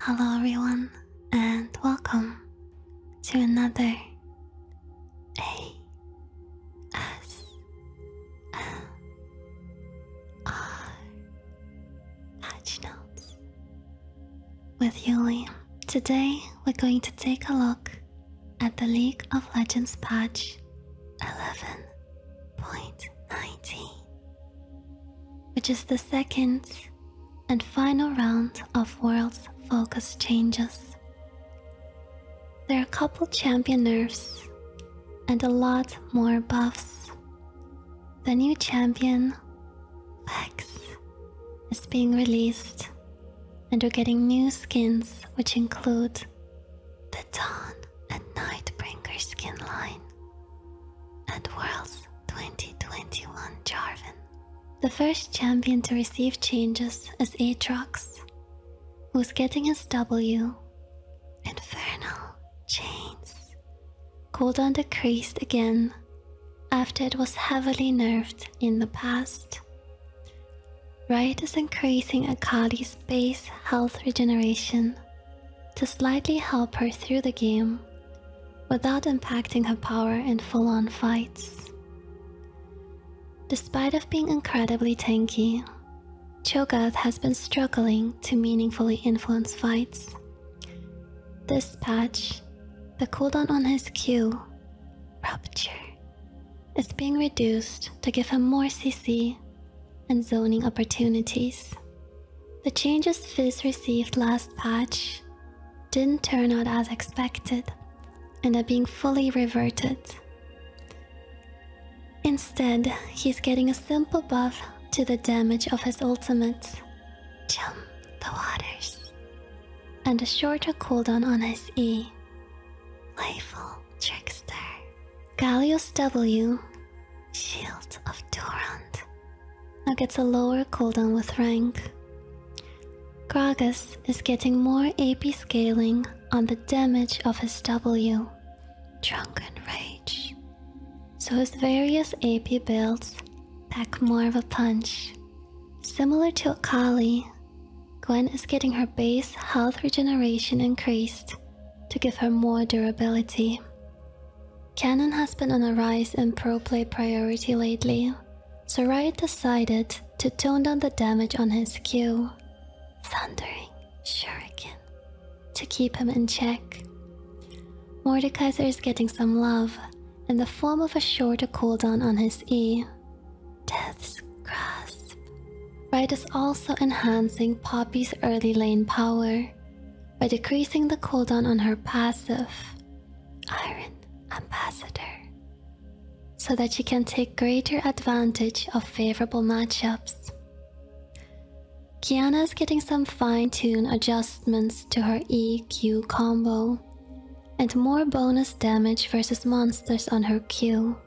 Hello, everyone, and welcome to another A S M R Patch Notes with Yuli. Today, we're going to take a look at the League of Legends patch 11.19 which is the second and final round of World's Focus changes. There are a couple champion nerfs and a lot more buffs. The new champion, Lex, is being released, and we're getting new skins which include the Dawn and Nightbringer skin line, at Worlds 2021 Jarvan, the first champion to receive changes is Aatrox, who's getting his W. Infernal Chains. Cooldown decreased again after it was heavily nerfed in the past. Riot is increasing Akali's base health regeneration to slightly help her through the game without impacting her power in full-on fights. Despite of being incredibly tanky, Cho'Gath has been struggling to meaningfully influence fights. This patch, the cooldown on his Q, Rupture, is being reduced to give him more CC and zoning opportunities. The changes FIS received last patch didn't turn out as expected and are being fully reverted. Instead, he's getting a simple buff to the damage of his ultimates, Jump the Waters, and a shorter cooldown on his E, Playful Trickster. Gallius W, Shield of Torrent, now gets a lower cooldown with rank. Gragas is getting more AP scaling on the damage of his W, Drunken Rage, so his various AP builds pack more of a punch. Similar to Kali, Gwen is getting her base health regeneration increased to give her more durability. Cannon has been on a rise in pro play priority lately, so Riot decided to tone down the damage on his Q, Thundering Shuriken, to keep him in check. Mordekaiser is getting some love in the form of a shorter cooldown on his E, Death's is also enhancing Poppy's early lane power by decreasing the cooldown on her passive, Iron Ambassador, so that she can take greater advantage of favorable matchups. Kiana is getting some fine-tune adjustments to her EQ combo, and more bonus damage versus monsters on her Q.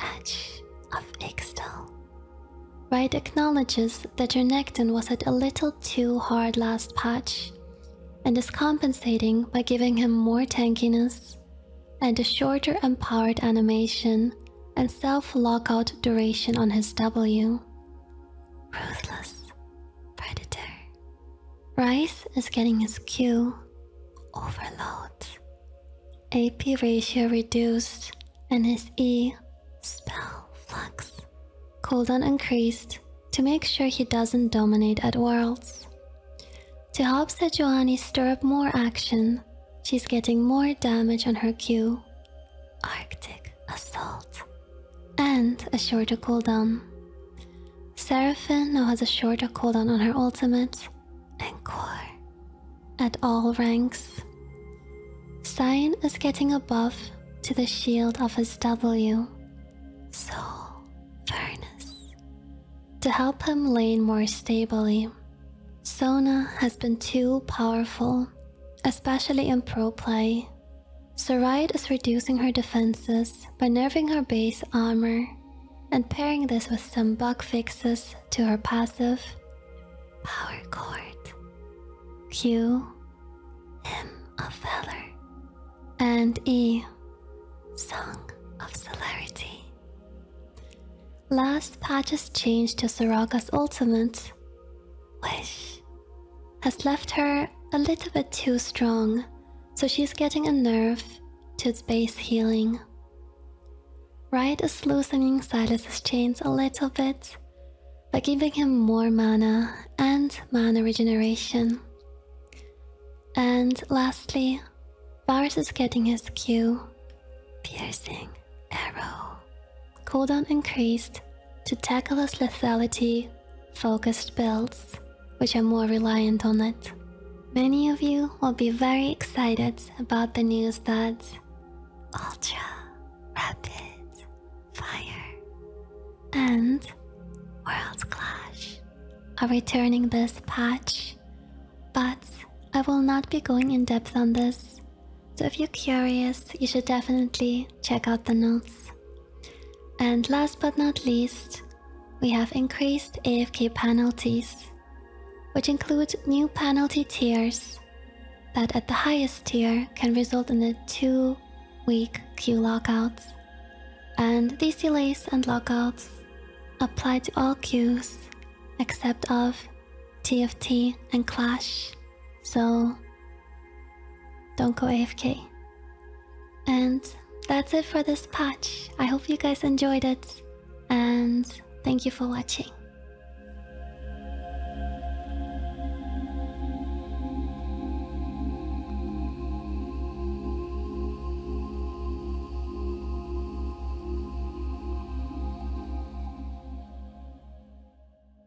Edge of Ixtal. Right acknowledges that your Necton was at a little too hard last patch and is compensating by giving him more tankiness and a shorter empowered animation and self-lockout duration on his W. Ruthless Predator. Rice is getting his Q overload, AP ratio reduced, and his E spell flux cooldown increased to make sure he doesn't dominate at worlds. To help Sejuani stir up more action, she's getting more damage on her Q, Arctic Assault, and a shorter cooldown. Seraphim now has a shorter cooldown on her ultimate Encore, at all ranks. Cyan is getting a buff to the shield of his W, Soul Furnace, to help him lane more stably. Sona has been too powerful, especially in pro play. Saride is reducing her defenses by nerfing her base armor and pairing this with some bug fixes to her passive Power Chord, Q, Hymn of Valor, and E, Song of Celerity. Last patch's change to Soraka's ultimate, Wish, has left her a little bit too strong so she's getting a nerve to its base healing. Right is loosening Silas's chains a little bit by giving him more mana and mana regeneration. And lastly, Varus is getting his Q, piercing arrow, cooldown increased to tackle his lethality focused builds which are more reliant on it. Many of you will be very excited about the news that Ultra Rapid Fire and World Clash are returning this patch, but I will not be going in depth on this. So if you're curious, you should definitely check out the notes. And last but not least, we have increased AFK penalties, which include new penalty tiers that at the highest tier can result in a two week queue lockouts. And these delays and lockouts apply to all queues except of TFT and Clash. So don't go AFK. And that's it for this patch. I hope you guys enjoyed it. And thank you for watching.